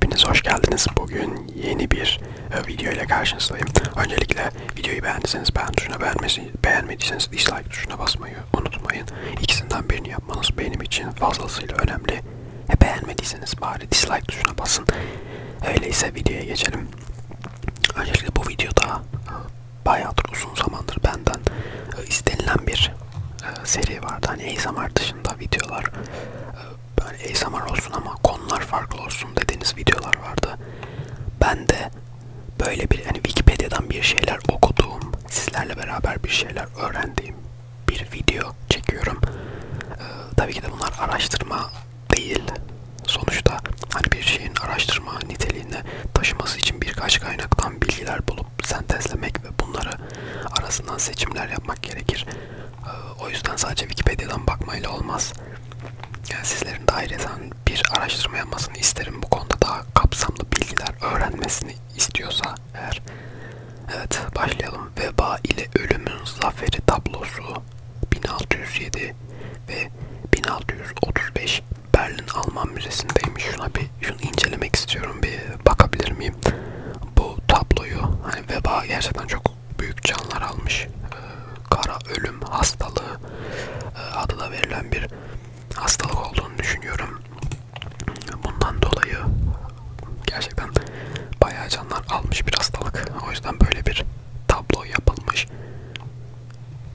Hepiniz hoş geldiniz. Bugün yeni bir e, video ile karşınızdayım. Öncelikle videoyu beğendiyseniz beğen tuşuna beğenmesi, beğenmediyseniz dislike tuşuna basmayı unutmayın. İkisinden birini yapmanız benim için fazlasıyla önemli. E, beğenmediyseniz bari dislike tuşuna basın. Öyleyse videoya geçelim. Öncelikle bu videoda e, bayağıdır uzun zamandır benden e, istenilen bir e, seri vardı. Hani ASMR dışında videolar e, böyle ASMR olsun ama konular farklı olsun dediğiniz videolar vardı. Ben de böyle bir hani Wikipedia'dan bir şeyler okuduğum, sizlerle beraber bir şeyler öğrendiğim bir video çekiyorum. Ee, tabii ki de bunlar araştırma değil. Sonuçta hani bir şeyin araştırma niteliğine taşıması için birkaç kaynaktan bilgiler bulup sentezlemek ve bunları arasından seçimler yapmak gerekir. O yüzden sadece Wikipedia'dan bakmayla olmaz. Yani sizlerin daireden bir araştırma yapmasını isterim. Bu konuda daha kapsamlı bilgiler öğrenmesini istiyorsa eğer. Evet başlayalım. Veba ile ölümün zaferi tablosu 1607 ve 1635 Berlin Alman Müzesi'ndeymiş. Şuna bir şunu incelemek istiyorum. Bir bakabilir miyim? Bu tabloyu hani veba gerçekten çok büyük canlar almış e, kara ölüm hastalığı e, adı da verilen bir hastalık olduğunu düşünüyorum. Bundan dolayı gerçekten bayağı canlar almış bir hastalık. O yüzden böyle bir tablo yapılmış.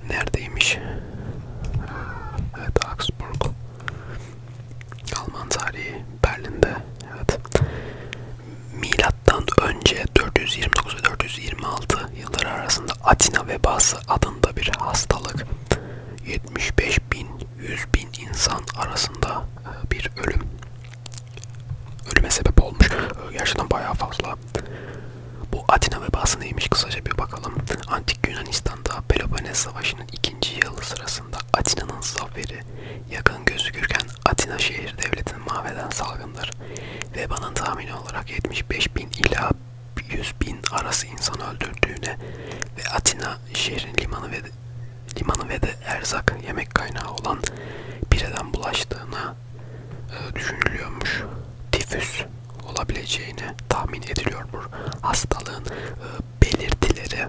Neredeymiş? Ee, evet Augsburg. Alman tarihi Berlin'de evet milattan önce 429 ve 426 yılları arasında Atina vebası adında bir hastalık 75 bin 100 bin insan arasında e, bir ölüm ölüme sebep olmuş gerçekten bayağı fazla bu Atina vebası neymiş kısaca bir bakalım antik Yunanistan'da Peloponnes savaşının ikinci yılı sırasında Atina'nın zaferi yakın gözükürken Atina şehir devletini mahveden salgındır. Veba'nın tahmini olarak 75 bin ila 100 bin arası insan öldürdüğüne ve Atina şehrin limanı ve de, limanı ve de erzak yemek kaynağı olan bireden bulaştığına e, düşünülüyormuş. Tifüs olabileceğini tahmin ediliyor bu hastalığın e, belirtileri.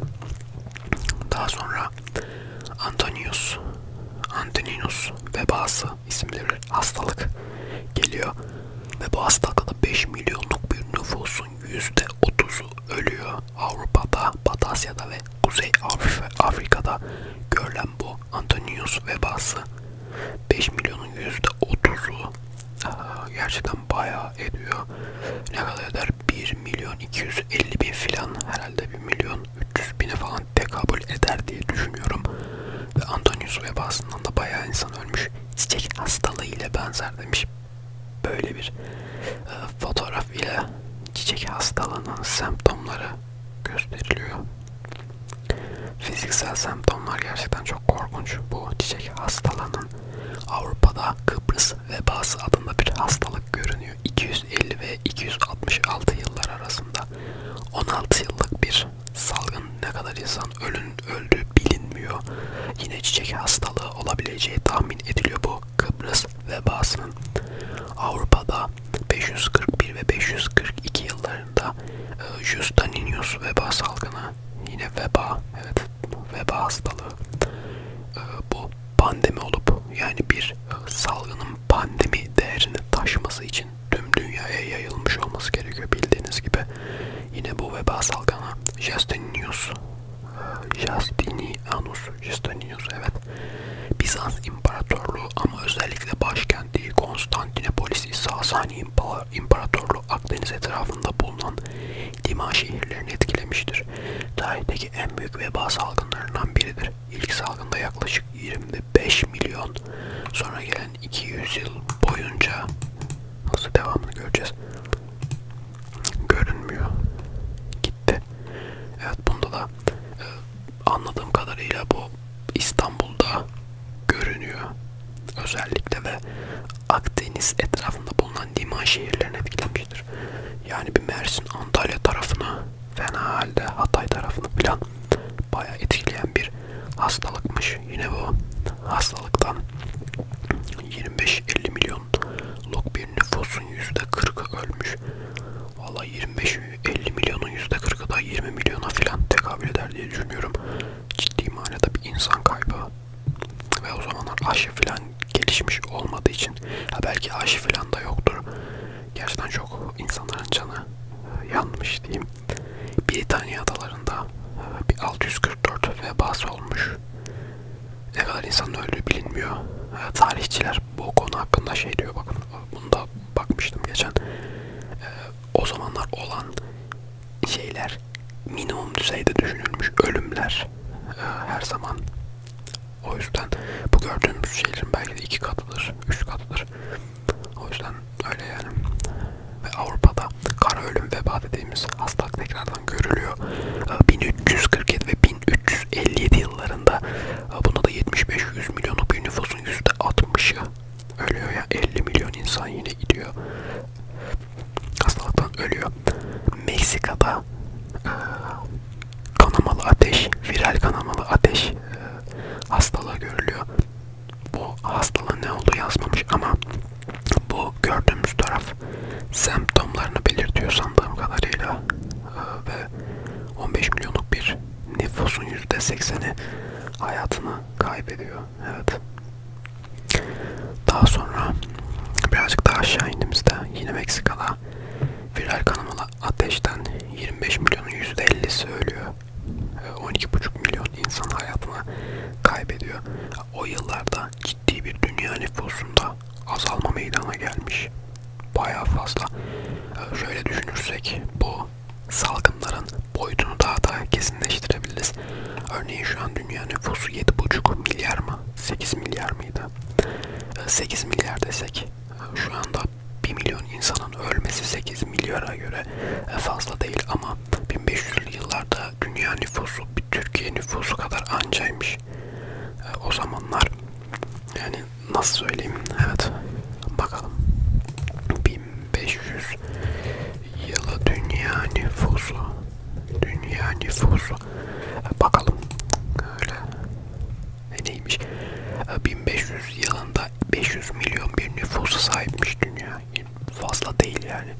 Daha sonra Antonius, Antoninus vebası isimli bir hastalık geliyor ve bu hastalıkta 5 milyonluk bir nüfusun %30'u ölüyor. Avrupa'da, Batı Asya'da ve Kuzey Afrika'da görülen bu Antonius vebası 5 milyonun %30'u gerçekten bayağı ediyor. Ne kadar eder? 1 milyon 250 bin filan herhalde 1 milyon 300 bine falan tekabül eder diye düşünüyorum. Ve Antonius vebasından da bayağı insan ölmüş. Çiçek hastalığı ile benzer demiş. Böyle bir e, fotoğraf ile çiçek hastalığının semptomları gösteriliyor. Fiziksel semptomlar gerçekten çok korkunç. Bu çiçek hastalığının Avrupa'da Kıbrıs vebası adında bir hastalık görünüyor dayanıyor. 250 ve 266 yıllar arasında 16 yıllık bir salgın ne kadar insan ölün öldü bilinmiyor. Yine çiçek hastalığı olabileceği tahmin ediliyor bu Kıbrıs vebasının. Avrupa'da 541 ve 542 yıllarında e, Justininius veba salgını yine veba evet veba hastalığı e, bu pandemi olup yani bir salgının pandemi değerini taşması için tüm dünyaya yayılmış olması gerekiyor bildiğiniz gibi. Yine bu veba salgını Justinius Justinianus Justinius evet Bizans İmparatorluğu ama özellikle başkenti Konstantinopolis'i Sasani İmparatorluğu Akdeniz etrafında bulunan liman şehirlerini etkilemiştir. Tarihte tarihteki en büyük veba salgınlarından biridir. İlk salgında yaklaşık 25 milyon sonra gelen 200 yıl boyunca nasıl devamını göreceğiz. Görünmüyor. Gitti. Evet bunda da e, anladığım kadarıyla bu İstanbul'da görünüyor. Özellikle ve Akdeniz etrafında bulunan liman şehirlerini etkilemiş gitmiştir. Yani bir Mersin, Antalya tarafına, fena halde Hatay tarafını falan bayağı etkileyen bir hastalıkmış. Yine bu hastalıktan 25-50 milyonluk bir nüfusun %40'ı ölmüş. Valla 25-50 milyonun %40'ı da 20 milyona falan tekabül eder diye düşünüyorum. Ciddi manada bir insan kaybı ve o zamanlar aşı falan gelişmiş olmadığı için ha belki aşı falan da yoktur. Gerçekten çok insanların canı e, yanmış diyeyim. Britanya adalarında e, bir 644 vebası olmuş. Ne kadar insanın öldüğü bilinmiyor. E, tarihçiler bu konu hakkında şey diyor bakın. Bunu da bakmıştım geçen. O zamanlar olan şeyler minimum düzeyde düşünülmüş ölümler her zaman o yüzden bu gördüğümüz şeylerin belki de iki katıdır, üç katıdır. O yüzden öyle yani. Ve Avrupa'da kara ölüm veba dediğimiz hastalık tekrardan görülüyor. 1347 ee, ve 1357 yıllarında e, buna da 75-100 milyonluk bir nüfusun %60'ı ölüyor. Yani 50 milyon insan yine gidiyor. Hastalıktan ölüyor. Meksika'da e, kanamalı ateş, viral kanamalı ateş e, hastalığı görülüyor. Bu hastalığın ne olduğu yazmamış ama bu gördüğümüz taraf semptomlarını belirtiyor sandığım kadarıyla e, ve 15 milyonluk bir nüfusun %80'i hayatını kaybediyor. Evet. Daha sonra birazcık daha aşağı indiğimizde yine Meksika'da viral kanamalı ateşten 25 milyonun %50'si ölüyor. 12,5 milyon insan hayatını kaybediyor. O yıllarda ciddi bir dünya nüfusunda azalma meydana gelmiş. Bayağı fazla. Ee, şöyle düşünürsek bu salgınların boyutunu daha da kesinleştirebiliriz. Örneğin şu an dünya nüfusu 7,5 milyar mı? 8 milyar mıydı? 8 ee, milyar desek şu anda 1 milyon insanın ölmesi 8 milyara göre e, fazla değil ama 1500'lü yıllarda dünya nüfusu bir Türkiye nüfusu kadar ancaymış. E, o zamanlar yani nasıl söyleyeyim evet bakalım 1500 yılı dünya nüfusu dünya nüfusu e, bakalım öyle neymiş 1500 ee, yılında 500 milyon bir nüfusa sahipmiş dünya fazla değil yani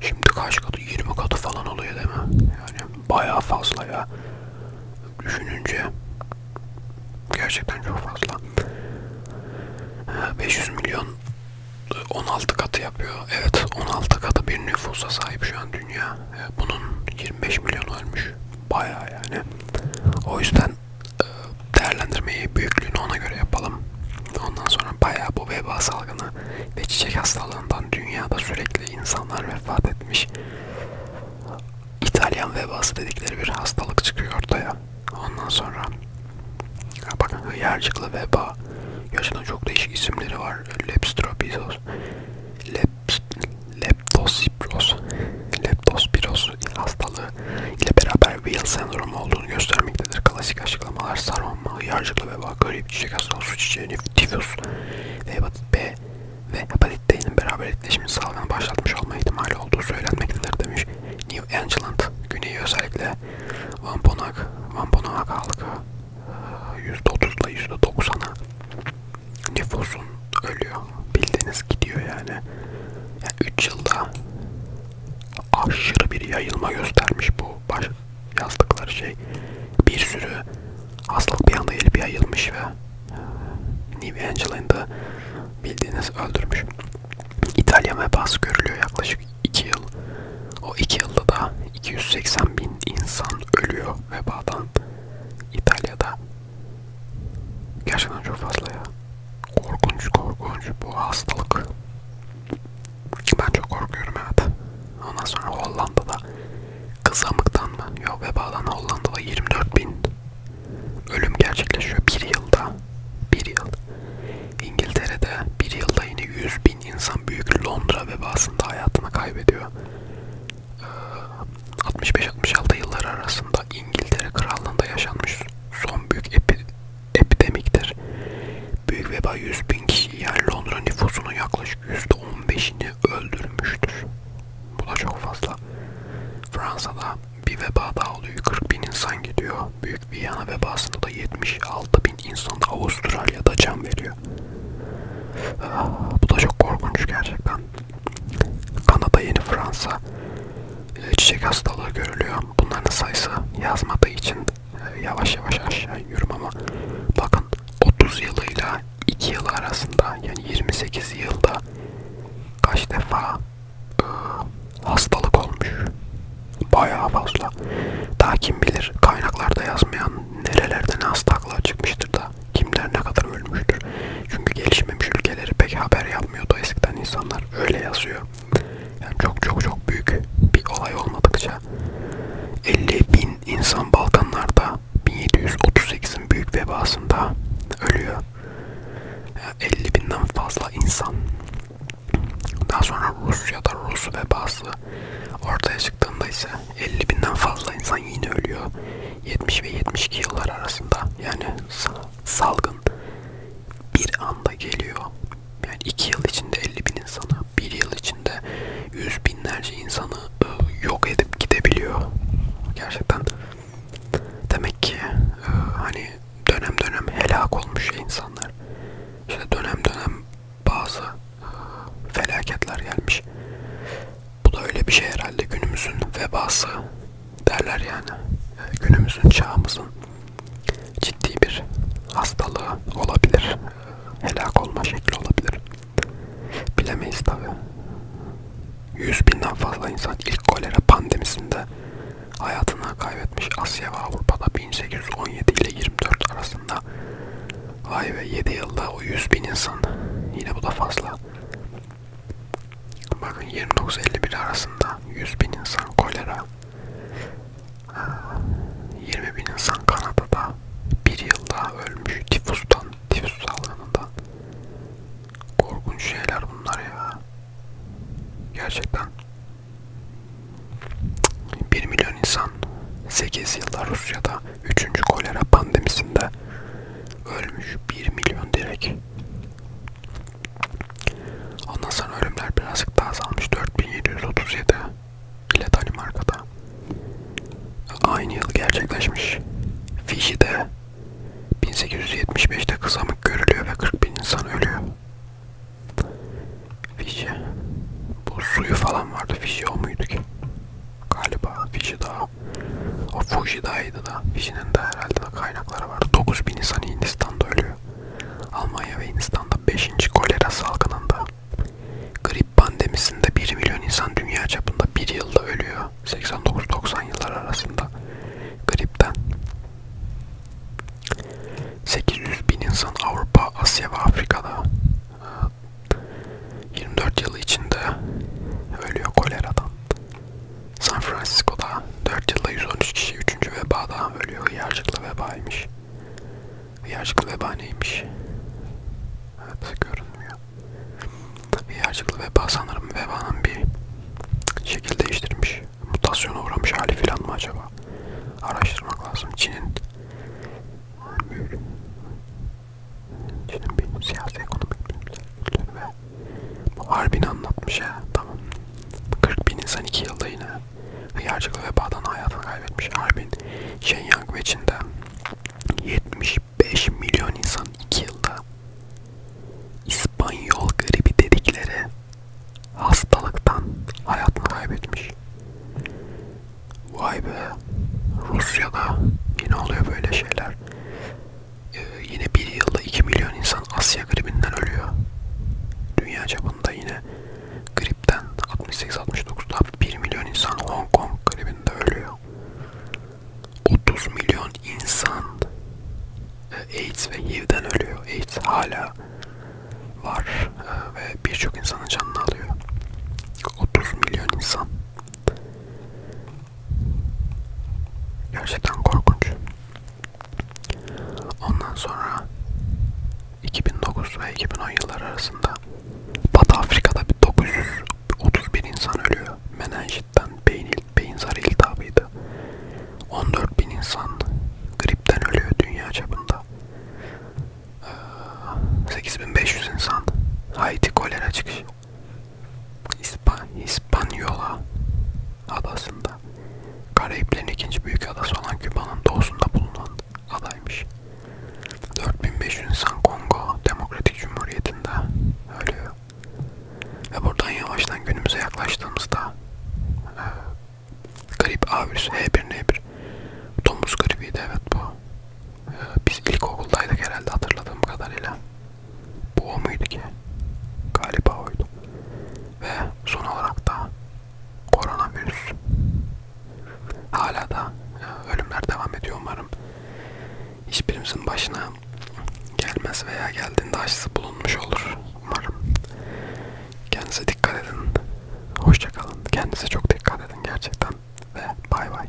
şimdi kaç katı 20 katı falan oluyor değil mi yani bayağı fazla ya düşününce gerçekten çok fazla 500 ee, milyon 16 e, katı yapıyor. Evet 16 katı bir nüfusa sahip şu an dünya. Ee, bunun 25 milyon ölmüş. Bayağı yani. O yüzden e, değerlendirmeyi büyüklüğünü ona göre yapalım. Ondan sonra bayağı bu veba salgını ve çiçek hastalığından dünyada sürekli insanlar vefat etmiş. İtalyan vebası dedikleri bir hastalık çıkıyor ortaya. Ondan sonra bakın hıyarcıklı veba. Yaşında çok değişik isimleri var. Lepstropisos, leptospiroz, leptospiroz hastalığı ile beraber Weil sendromu olduğunu göstermektedir. Klasik açıklamalar sarılma, yarcıklı veba, grip, çiçek hastalığı, su çiçeği, tifüs ve hepatit B ve hepatit D'nin beraber etkileşimini salgını başlatmış olma ihtimali olduğu söylenmektedir demiş. New England güneyi özellikle Vamponak, Vamponak halkı %30 ile %90'a nüfusun ölüyor. Bildiğiniz gidiyor yani. yani. 3 yılda aşırı bir yayılma göstermiş bu baş yazdıkları şey. Bir sürü hastalık bir anda gelip yayılmış ve New Angela'yı da bildiğiniz öldürmüş. İtalya vebası görülüyor yaklaşık 2 yıl. O 2 yılda da 280 bin insan ölüyor vebadan İtalya'da. Gerçekten çok fazla ya. Korkunç korkunç bu hastalık. Ben çok korkuyorum evet. Ondan sonra Hollanda'da kızamıktan mı? Yok vebadan Hollanda'da 24 bin ölüm gerçekleşiyor bir yılda. Bir yıl. İngiltere'de bir yılda yine 100 bin insan büyük Londra vebasında hayatını kaybediyor. 65-66 yılları arasında İngiltere Krallığı'nda yaşanmış son büyük epi, epidemiktir. Büyük veba 100 bin kişi yani Londra nüfusunun yaklaşık %15'ini öldürmüştür. Bu da çok fazla. Fransa'da bir veba daha oluyor. 40 bin insan gidiyor. Büyük Viyana vebasında da 76 bin insan da Avustralya'da can veriyor. Ah, bu da çok korkunç gerçekten. Kanada, Yeni Fransa çiçek hastalığı görülüyor. Bunların sayısı yazmadığı için e, yavaş yavaş aşağı yürüm ama bakın 30 yılıyla 2 yıl arasında yani 28 yılda kaç defa e, hastalık olmuş. Bayağı fazla. Daha kim bilir kaynaklarda yazmayan nerelerden hastalıklar çıkmıştır da kimler ne kadar ölmüştür. Çünkü gelişmemiş ülkeleri pek haber yapmıyordu eskiden insanlar. Öyle yazıyor. Yani çok çok çok büyük bir olay olmadıkça 50 bin insan Balkanlarda 1738'in büyük vebasında ölüyor. Yani 50 binden fazla insan. Daha sonra Rusya'da Rus vebası ortaya çıktığında ise 50 binden fazla insan yine ölüyor. 70 ve 72 yıllar arasında. Yani salgın bir anda geliyor. Yani 2 yıl içinde 50 bin insanı, 1 yıl içinde yüz binlerce insanı ıı, yok edip gidebiliyor. Gerçekten demek ki ıı, hani dönem dönem helak olmuş insanlar. İşte dönem dönem bazı ıı, felaketler gelmiş. Bu da öyle bir şey herhalde günümüzün vebası derler yani. Günümüzün çağımızın ciddi bir hastalığı olabilir. Helak olma şekli olabilir. Bilemeyiz tabi. 100 binden fazla insan ilk kolera pandemisinde hayatını kaybetmiş Asya ve Avrupa'da 1817 ile 24 arasında. Vay be 7 yılda o 100 bin insan. Yine bu da fazla. Bakın 29-51 arasında 100 bin insan kolera, 20 bin insan Kanada'da bir yılda ölmüş tifustan, tifus salgınından. Korkunç şeyler bunlar ya. Gerçekten. 1 milyon insan 8 yılda Rusya'da 3. kolera pandemisinde ölmüş 1 milyon direk. Ondan sonra ölümler birazcık daha azalmış 4737 ile Danimarka'da. Aynı yıl gerçekleşmiş. Fiji'de 1875'te kızamık görülüyor ve 40 bin insan ölüyor. Fiji. Bu suyu falan vardı. Fiji o muydu ki? galiba Fijida o Fujida'ydı da Fiji'nin de herhalde kaynakları var 9000 insan Hindistan'da ölüyor Almanya ve Hindistan'da 5. kolera salgınında grip pandemisinde 1 milyon insan dünya çapında bir yılda ölüyor 89-90 yıllar arasında gripten 800 bin insan Avrupa, Asya ve Afrika'da e, 24 yıl içinde ölüyor koleradan. San Francisco'da 4 yılda 113 kişi 3. vebadan ölüyor. Hıyarcıklı vebaymış. Hıyarcıklı veba neymiş? Evet görünmüyor. Hıyarcıklı veba sanırım vebanın bir şekil değiştirmiş. Mutasyona uğramış hali filan mı acaba? Araştırmak lazım. Çin'in Çin'in bir siyasi ekonomik bilimleri ve bu harbini anlatmış ya tamam. 40 bin insan iki yılda yine hıyarcıklı vebadan hayatını kaybetmiş. Harbin Shenyang ve Çin'de 75 milyon insan iki yılda İspanyol gribi dedikleri hastalıktan hayatını kaybetmiş. Vay be. Rusya'da yine oluyor böyle şeyler e, yine bir yılda 2 milyon insan Asya gribinden ölüyor. Dünya çapında yine gripten 68-69'da 1 milyon insan Hong Kong gribinde ölüyor. 30 milyon insan e, AIDS ve HIV'den ölüyor. AIDS hala var e, ve birçok insanın canını alıyor. 30 milyon insan Gerçekten korkunç. Ondan sonra 2009 ve 2010 yılları arasında Batı Afrika'da 931 insan ölüyor. Menenjitten beyin, beyin zarı iltihabıydı. 14 bin insan gripten ölüyor dünya çapında. 8500 ee, insan Haiti kolera çıkışı. İspan İspanyola adasında Karayiplerin ikinci büyük adası olan Küba'nın doğusunda bulunan adaymış. 4500 insan Kongo Demokratik Cumhuriyeti'nde ölüyor. Ve buradan yavaştan günümüze yaklaştığımızda e, grip A virüsü H1N1 domuz gribiydi evet bu. E, biz ilkokuldaydık herhalde hatırladığım kadarıyla. Bu o muydu ki? Galiba oydu. Ve son olarak da koronavirüs. Hala da e, ölümler devam ediyor umarım. Hiçbirimizin başına gelmez veya geldiğinde aşısı bulunmuş olur umarım. Kendinize dikkat edin. Hoşçakalın. Kendinize çok dikkat edin gerçekten. Ve bay bay.